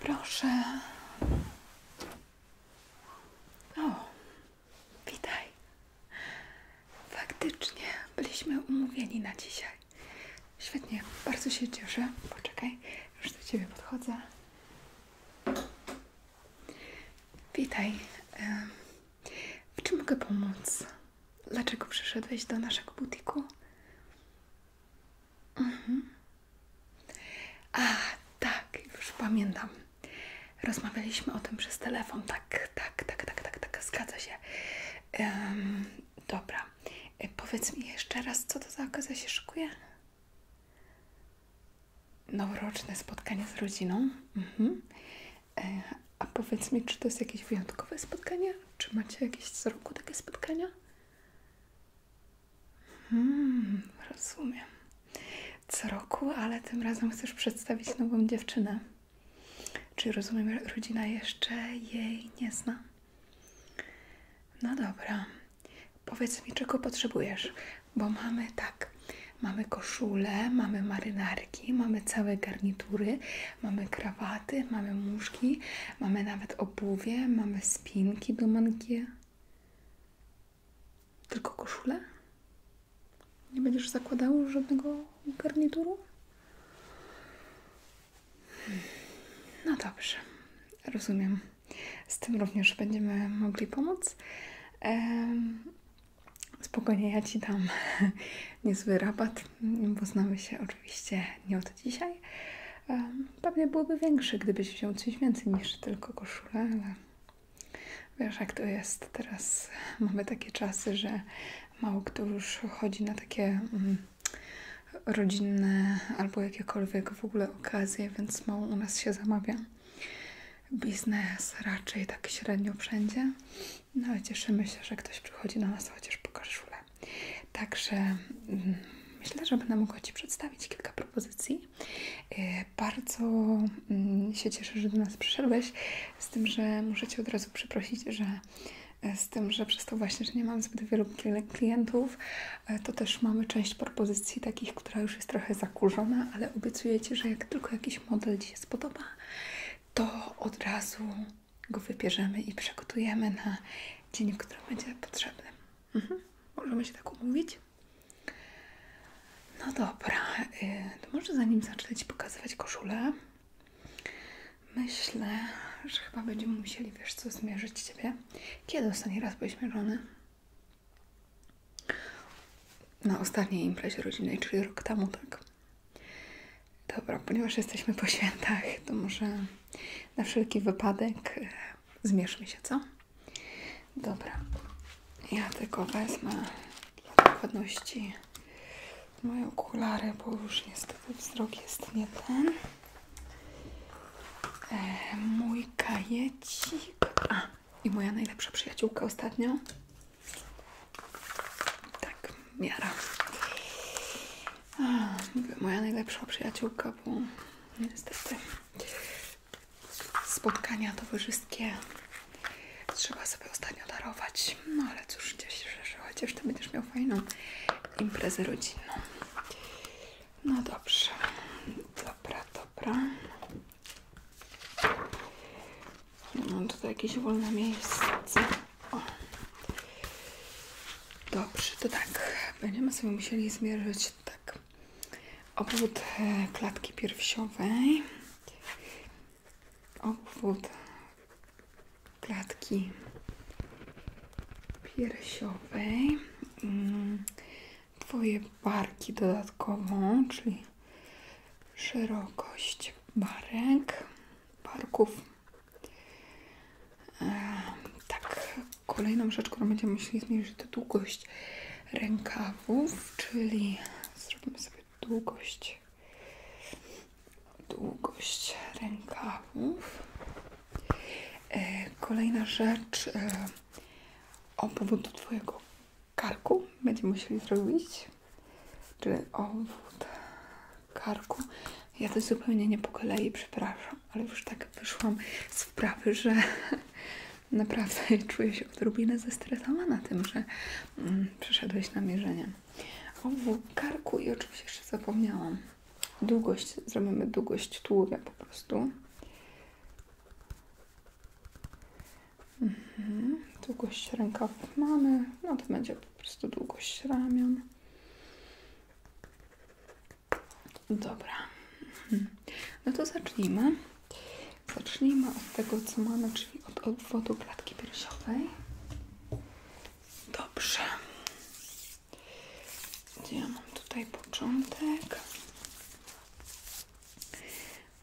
Proszę. O, witaj. Faktycznie byliśmy umówieni na dzisiaj. Świetnie, bardzo się cieszę. Poczekaj, już do Ciebie podchodzę. Witaj. W czym mogę pomóc? Dlaczego przyszedłeś do naszego butiku? Mhm. A, tak, już pamiętam. Rozmawialiśmy o tym przez telefon. Tak, tak, tak, tak, tak, tak, zgadza się. dobra. E, powiedz mi jeszcze raz, co to za okazja się szykuje? Noworoczne spotkanie z rodziną. Mhm. E, a powiedz mi, czy to jest jakieś wyjątkowe spotkanie? Czy macie jakieś co roku takie spotkania? Hmm, rozumiem. Co roku, ale tym razem chcesz przedstawić nową dziewczynę. Czy rozumiem, rodzina jeszcze jej nie zna? No dobra, powiedz mi, czego potrzebujesz, bo mamy tak, mamy koszule, mamy marynarki, mamy całe garnitury, mamy krawaty, mamy muszki, mamy nawet obuwie, mamy spinki do mankie. Tylko koszule? Nie będziesz zakładał żadnego garnituru? No dobrze, rozumiem. Z tym również będziemy mogli pomóc. Spokojnie, ja Ci dam niezły rabat, bo znamy się oczywiście nie od dzisiaj. Pewnie byłby większy, gdybyś wziął coś więcej niż tylko koszulę, ale wiesz jak to jest. Teraz mamy takie czasy, że mało kto już chodzi na takie mm, rodzinne albo jakiekolwiek w ogóle okazje, więc mało u nas się zamawia. Biznes raczej tak średnio wszędzie, no ale cieszymy się, że ktoś przychodzi do nas chociaż po koszulę. Także mm, myślę, że będę mogła Ci przedstawić kilka propozycji. E, bardzo mm, się cieszę, że do nas przyszedłeś, z tym, że muszę ci od razu przeprosić, że E, z tym, że przez to właśnie, że nie mam zbyt wielu klientów, e, to też mamy część propozycji takich, która już jest trochę zakurzona, ale obiecuję że jak tylko jakiś model dzisiaj spodoba, to od razu go wybierzemy i przygotujemy na dzień, w którym będzie potrzebny. Mhm. Możemy się tak umówić? No dobra, e, to może zanim zacznę Ci pokazywać koszulę, Myślę, że chyba będziemy musieli, wiesz co, zmierzyć Ciebie. Kiedy ostatni raz byłeś mierzony? Na ostatniej imprezie rodzinnej, czyli rok temu, tak? Dobra, ponieważ jesteśmy po świętach, to może na wszelki wypadek e, zmierzmy się, co? Dobra. Ja tylko wezmę dla dokładności moje okulary, bo już niestety wzrok jest nie ten. E, mój kajecik. A, i moja najlepsza przyjaciółka ostatnio. Tak, miara. moja najlepsza przyjaciółka, bo niestety spotkania towarzyskie trzeba sobie ostatnio darować. No ale cóż, gdzieś się, że chociaż ty będziesz miał fajną imprezę rodzinną. No dobrze, dobra, dobra. Mam tutaj jakieś wolne miejsce. O. Dobrze, to tak. Będziemy sobie musieli zmierzyć tak obwód e, klatki piersiowej, obwód klatki piersiowej, mm, Twoje barki dodatkowo, czyli szerokość barek, barków. E, tak, kolejną rzecz, którą będziemy musieli zmierzyć, to długość rękawów, czyli zrobimy sobie długość długość rękawów. E, kolejna rzecz e, o powodu Twojego karku będziemy musieli zrobić, czyli obwód karku. Ja to zupełnie nie po kolei, przepraszam, ale już tak wyszłam z wprawy, że naprawdę czuję się odrobinę zestresowana tym, że przeszedłeś mm, przyszedłeś na mierzenie. Obwód karku i oczywiście jeszcze zapomniałam długość, zrobimy długość tułowia po prostu. Mhm. Długość rękawów mamy, no to będzie po prostu długość ramion. Dobra, mhm. no to zacznijmy. Zacznijmy od tego, co mamy, czyli od obwodu klatki piersiowej. Dobrze. Gdzie mam tutaj początek?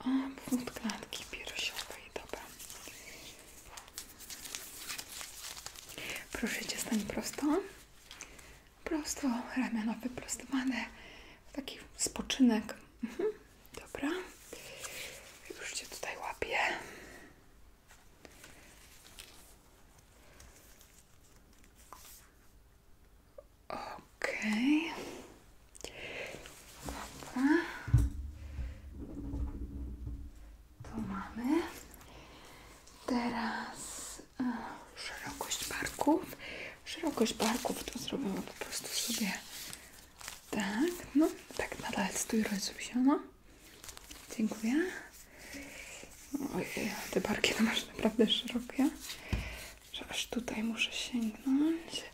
O, powód klatki i dobra. Proszę Cię, stanie prosto. Prosto, ramiona wyprostowane. Taki spoczynek. Mhm. Dobra. Już Cię tutaj łapię. Okej. To mamy. Teraz a, e, szerokość barków. Szerokość to zrobimy po prostu sobie tak, no tak nadal stój rozruszona. Dziękuję. Ojej, te barki masz naprawdę szerokie, że aż tutaj muszę sięgnąć.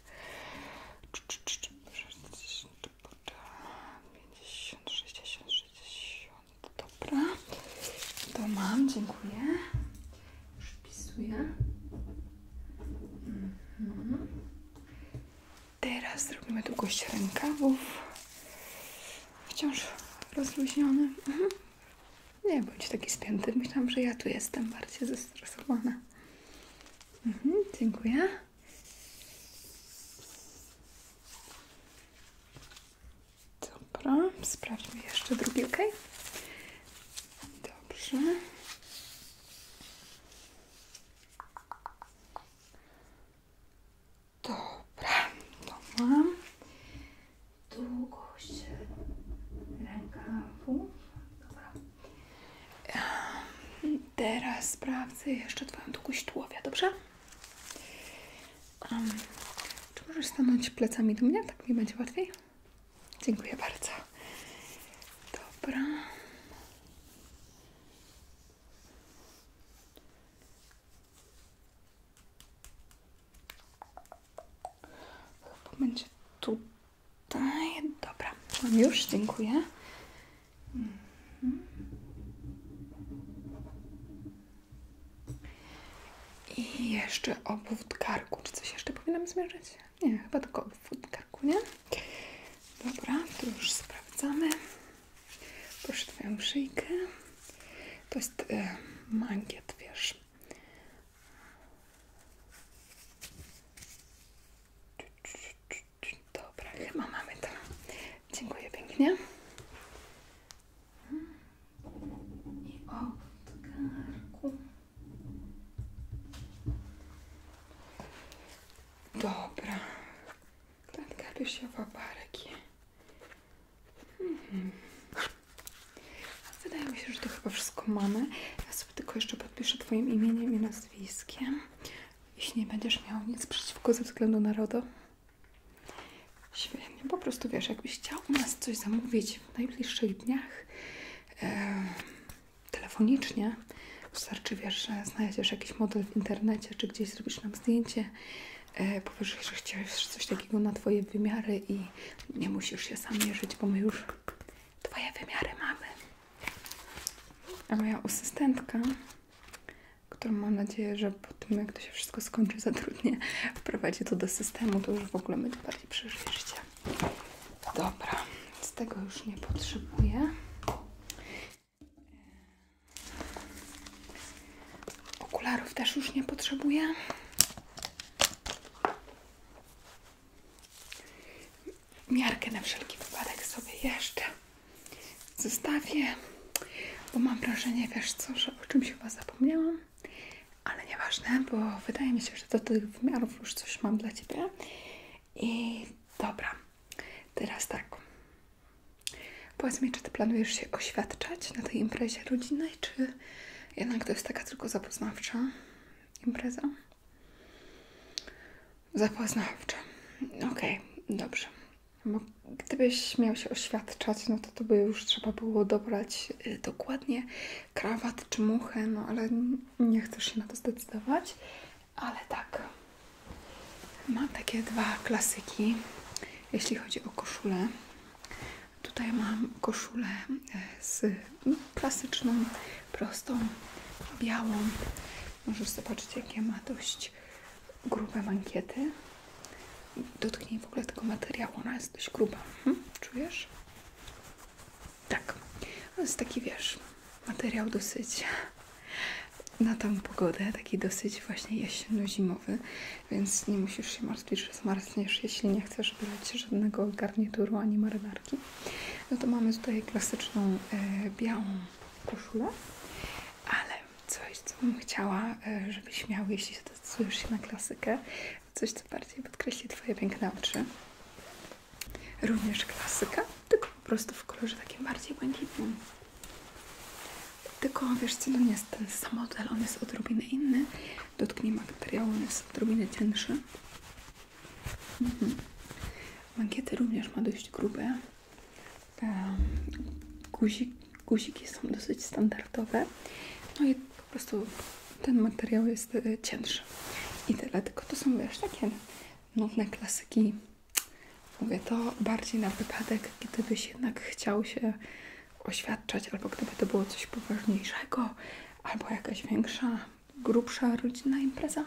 50, 60, 60. Dobra. To mam, dziękuję. Już wpisuję. Mhm. Teraz zrobimy długość rękawów wciąż rozluźniony. Mhm. Nie bądź taki spięty. Myślałam, że ja tu jestem bardziej zestresowana. Mhm, dziękuję. Dobra, sprawdźmy jeszcze drugi, ok? Dobrze. Dobra, to mam długość rękawu. Dobra. Teraz sprawdzę jeszcze Twoją długość tułowia, dobrze? czy możesz stanąć plecami do mnie? Tak mi będzie łatwiej. Dziękuję bardzo. Dobra. Chyba będzie tutaj. Dobra, już, dziękuję. Mhm. I jeszcze obwód karku. Czy coś jeszcze powinnam zmierzyć? Nie, chyba tylko obwód karku, nie? Dobra, to już sprawdzamy. Proszę Twoją szyjkę. To jest e, mankiet, wiesz. Dobra, chyba mamy to. Dziękuję pięknie. I od Klatkę się barek. Mhm. Wydaje mi się, że to chyba wszystko mamy. Ja sobie tylko jeszcze podpiszę Twoim imieniem i nazwiskiem. Jeśli nie będziesz miał nic przeciwko ze względu na RODO. Świetnie, po prostu wiesz, jakbyś chciał u nas coś zamówić w najbliższych dniach telefonicznie, wystarczy wiesz, że znajdziesz jakiś model w internecie, czy gdzieś zrobisz nam zdjęcie E, powiesz, że chcesz coś takiego na Twoje wymiary i nie musisz się sam mierzyć, bo my już Twoje wymiary mamy. A moja asystentka, którą mam nadzieję, że po tym jak to się wszystko skończy, za trudnie wprowadzi to do systemu, to już w ogóle będzie bardziej przeżyje Dobra, z tego już nie potrzebuję. E, okularów też już nie potrzebuję. Miarkę na wszelki wypadek sobie jeszcze zostawię, bo mam wrażenie, wiesz co, że o czymś chyba zapomniałam, ale nieważne, bo wydaje mi się, że do tych wymiarów już coś mam dla Ciebie. I dobra, teraz tak. Powiedz mi, czy ty planujesz się oświadczać na tej imprezie rodzinnej, czy jednak to jest taka tylko zapoznawcza impreza? Zapoznawcza. Okej, dobrze. Bo gdybyś miał się oświadczać, no to to by już trzeba było dobrać y, dokładnie krawat czy muchę, no ale nie chcesz się na to zdecydować ale tak. Mam takie dwa klasyki, jeśli chodzi o koszulę. Tutaj mam koszulę e, z klasyczną, prostą, białą. Możesz zobaczyć, jakie ma dość grube mankiety. Dotknij w ogóle tego materiału, ona jest dość gruba. Mhm, czujesz? Tak. To jest taki, wiesz, materiał dosyć na tą pogodę, taki dosyć właśnie jesienno-zimowy, więc nie musisz się martwić, że zmarzniesz, jeśli nie chcesz brać żadnego garnituru ani marynarki. No to mamy tutaj klasyczną e, białą koszulę, ale coś, co bym chciała, e, żebyś miał, jeśli zdecydujesz się na klasykę, coś, co bardziej podkreśli Twoje piękne oczy. Również klasyka, tylko po prostu w kolorze takim bardziej błękitnym. Tylko wiesz co, no nie jest ten sam model, on jest odrobinę inny. Dotknij materiału, on jest odrobinę cięższy. Mhm. Mankiety również ma dość grube. Guzik, guziki są dosyć standardowe. No i po prostu ten materiał jest y, cięższy. I tyle, tylko to są wiesz takie nudne klasyki Mówię to bardziej na wypadek, gdybyś jednak chciał się oświadczać, albo gdyby to było coś poważniejszego, albo jakaś większa, grubsza rodzinna impreza.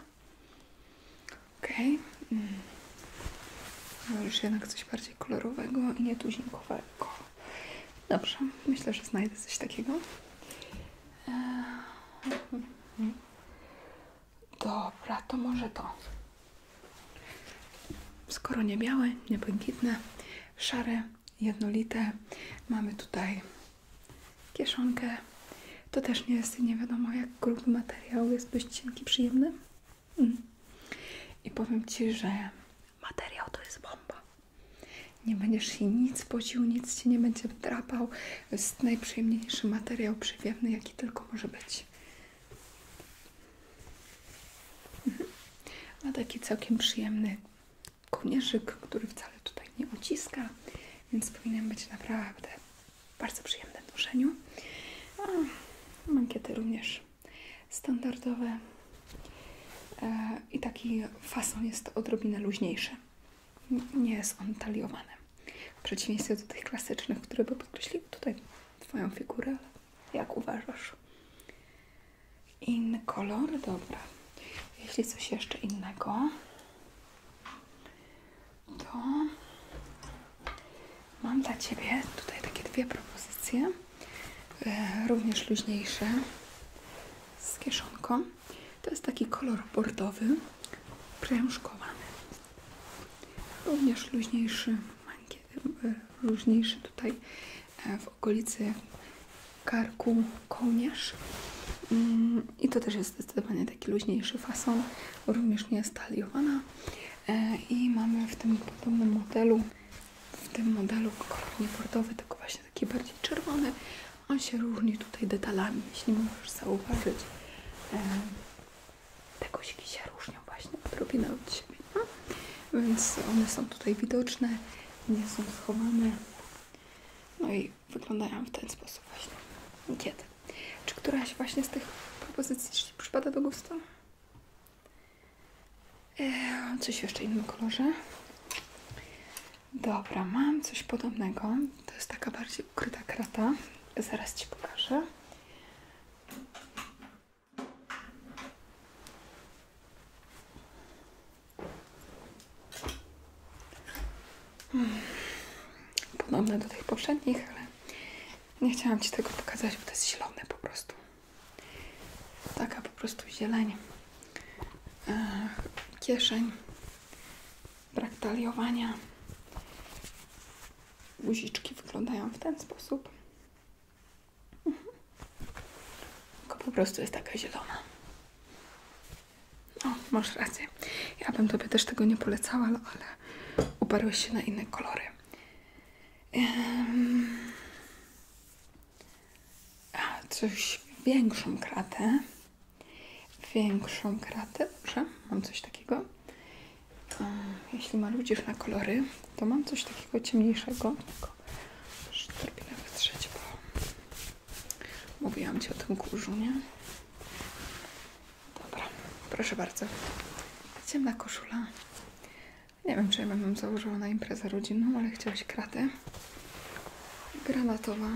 Okej. Okay. Mm. Już jednak coś bardziej kolorowego i nietuzinkowego. Dobrze, myślę, że znajdę coś takiego. Eee. Dobra, to może to. Skoro nie białe, nie błękitne, szare, jednolite, mamy tutaj kieszonkę. To też nie jest nie wiadomo jak gruby materiał, jest dość cienki, przyjemny. Mm. I powiem Ci, że materiał to jest bomba. Nie będziesz się nic pocił, nic Ci nie będzie drapał. To jest najprzyjemniejszy materiał przywiewny, jaki tylko może być. Ma taki całkiem przyjemny kołnierzyk, który wcale tutaj nie uciska, więc powinien być naprawdę bardzo przyjemny w noszeniu. A mankiety również standardowe e, i taki fason jest odrobinę luźniejszy. Nie jest on taliowany. W przeciwieństwie do tych klasycznych, które by podkreśliły tutaj Twoją figurę, jak uważasz? Inny kolor? Dobra. Jeśli coś jeszcze innego, to mam dla Ciebie tutaj takie dwie propozycje, e, również luźniejsze z kieszonką. To jest taki kolor bordowy, prężkowany. Również luźniejszy, e, luźniejszy tutaj e, w okolicy karku kołnierz. Mm, I to też jest zdecydowanie taki luźniejszy fason, również nie jest taliowana. E, I mamy w tym podobnym modelu, w tym modelu kolor nieportowy, tylko właśnie taki bardziej czerwony. On się różni tutaj detalami, jeśli możesz zauważyć te się różnią właśnie odrobinę od siebie, no? więc one są tutaj widoczne, nie są schowane, no i wyglądają w ten sposób właśnie. Kiedy? Czy któraś właśnie z tych propozycji przypada do gustu? Eee, jeszcze w innym kolorze. Dobra, mam coś podobnego. To jest taka bardziej ukryta krata. Zaraz Ci pokażę. Podobne do tych poprzednich, ale nie chciałam Ci tego pokazać, bo to jest zielone po prostu. Taka po prostu zieleń. E, kieszeń. Brak guziczki wyglądają w ten sposób. Mhm. Tylko po prostu jest taka zielona. O, masz rację. Ja bym Tobie też tego nie polecała, ale, ale uparłeś się na inne kolory. Um, a coś większą kratę. Większą kratę. Dobrze, mam coś takiego to jeśli marudzisz na kolory, to mam coś takiego ciemniejszego. Tylko już wytrzeć, bo mówiłam Ci o tym kurzu, nie? Dobra, proszę bardzo. Ciemna koszula. Nie wiem, czy ja bym założyła na imprezę rodzinną, ale chciałaś kratę. Granatowa.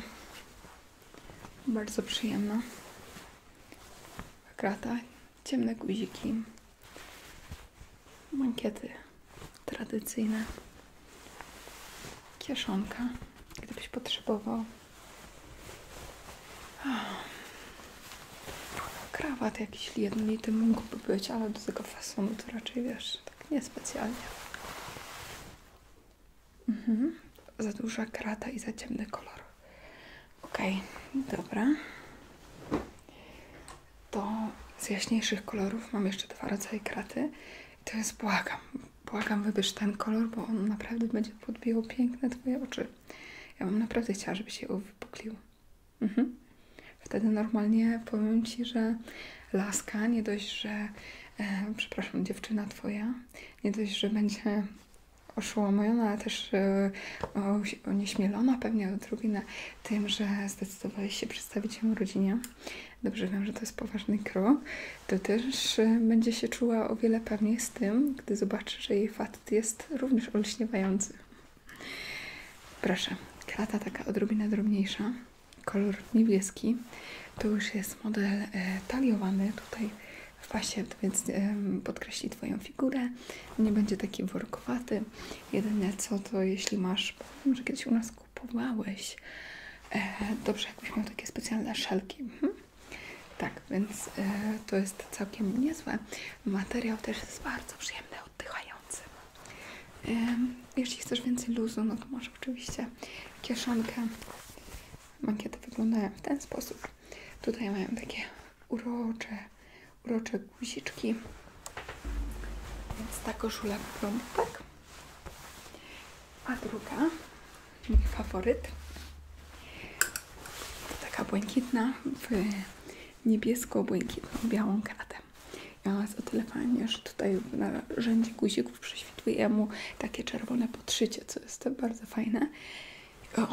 Bardzo przyjemna krata, ciemne guziki, mankiety tradycyjne, kieszonka, gdybyś potrzebował, ah, krawat jakiś jednolity mógłby być, ale do tego fasonu to raczej wiesz, tak niespecjalnie. Mhm. Za duża krata i za ciemny kolor. Ok, dobra. To z jaśniejszych kolorów mam jeszcze dwa rodzaje kraty. I to jest błagam. Błagam, wybierz ten kolor, bo on naprawdę będzie podbiło piękne Twoje oczy. Ja bym naprawdę chciała, żeby się uwypuklił. Mhm. Wtedy normalnie powiem Ci, że laska, nie dość, że, e, przepraszam, dziewczyna Twoja, nie dość, że będzie oszołomiona, ale też yy, pewnie odrobinę tym, że zdecydowałeś się przedstawić ją rodzinie. Dobrze wiem, że to jest poważny krok. To też e, będzie się czuła o wiele pewniej z tym, gdy zobaczy, że jej facet jest również olśniewający. Proszę, klata taka odrobinę drobniejsza, kolor niebieski. To już jest model e, taliowany. Tutaj w pasie, więc podkreśli Twoją figurę. Nie będzie taki workowaty. Jedyne co to, jeśli masz, powiem, że kiedyś u nas kupowałeś, e, dobrze, jakbyś miał takie specjalne szelki. Mhm. Tak, więc e, to jest całkiem niezłe. Materiał też jest bardzo przyjemny, oddychający. E, jeśli chcesz więcej luzu, no to możesz oczywiście kieszonkę. Mankiety wyglądają w ten sposób. Tutaj mają takie urocze, urocze guziczki. Więc ta koszula tak? A druga, mój faworyt, to taka błękitna w niebiesko-błękitną białą kratę. Ja ona jest o tyle fajnie, że tutaj na rzędzie guzików prześwituje mu takie czerwone podszycie, co jest bardzo fajne.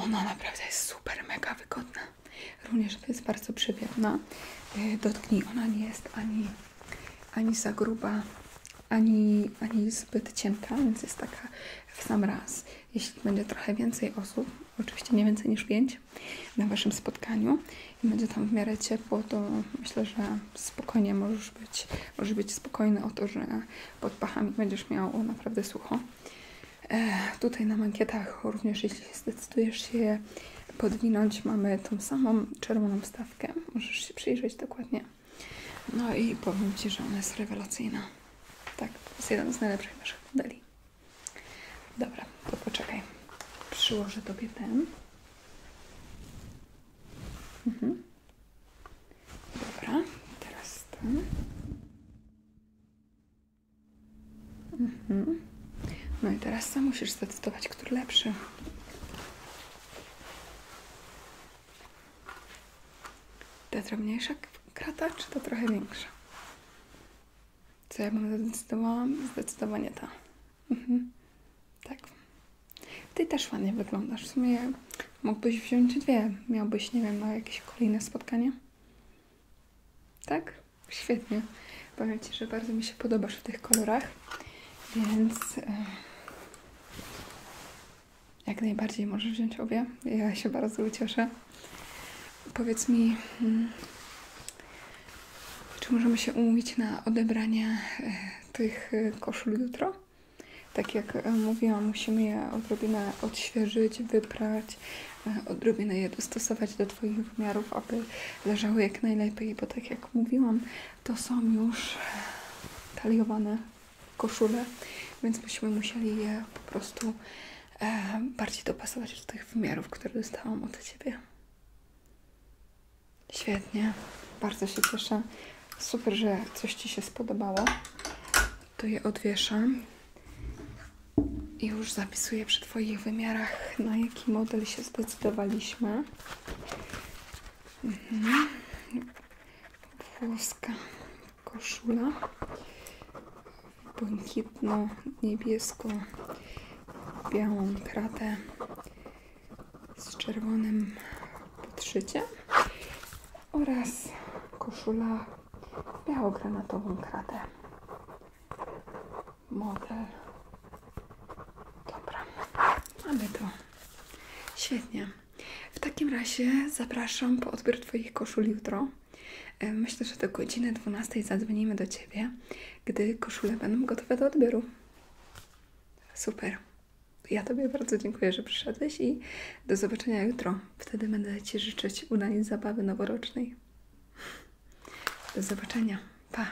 Ona naprawdę jest super, mega wygodna. Również jest bardzo przywiewna. E, Dotknij, ona nie jest ani, ani za gruba, ani, ani zbyt cienka, więc jest taka w sam raz. Jeśli będzie trochę więcej osób, oczywiście nie więcej niż 5 na Waszym spotkaniu i będzie tam w miarę ciepło, to myślę, że spokojnie możesz być, możesz być spokojny o to, że pod pachami będziesz miał naprawdę sucho. E, tutaj na mankietach również, jeśli zdecydujesz się podwinąć, mamy tą samą czerwoną stawkę. Możesz się przyjrzeć dokładnie. No i powiem Ci, że ona jest rewelacyjna. Tak, to jest jeden z najlepszych naszych modeli. Dobra, to poczekaj. Przyłożę Tobie ten. Mhm. Dobra, teraz to. Mhm. No i teraz sam musisz zdecydować, który lepszy. Ta drobniejsza krata, czy ta trochę większa? Co ja bym zdecydowała? Zdecydowanie ta. Mhm. Tak. Ty też ładnie wyglądasz. W sumie mógłbyś wziąć dwie. Miałbyś, nie wiem, na no, jakieś kolejne spotkanie. Tak? Świetnie. Powiem Ci, że bardzo mi się podobasz w tych kolorach, więc e, jak najbardziej możesz wziąć obie. Ja się bardzo ucieszę. Powiedz mi, hmm, czy możemy się umówić na odebranie e, tych e, koszul jutro? Tak jak e, mówiłam, musimy je odrobinę odświeżyć, wyprać, e, odrobinę je dostosować do Twoich wymiarów, aby leżały jak najlepiej, bo tak jak mówiłam, to są już taliowane koszule, więc byśmy musieli je po prostu e, bardziej dopasować do tych wymiarów, które dostałam od Ciebie. Świetnie, bardzo się cieszę. Super, że coś Ci się spodobało. To je odwieszam. I już zapisuję przy Twoich wymiarach, na jaki model się zdecydowaliśmy. Mhm. Włoska koszula. Błękitno, niebiesko, białą kratę z czerwonym szycie oraz koszula biało-granatową kratę. Model. Dobra, mamy to. Świetnie. W takim razie zapraszam po odbiór Twoich koszul jutro. E, myślę, że do godziny 12 zadzwonimy do Ciebie, gdy koszule będą gotowe do odbioru. Super. Ja Tobie bardzo dziękuję, że przyszedłeś i do zobaczenia jutro. Wtedy będę Ci życzyć udanej zabawy noworocznej. Do zobaczenia. Pa!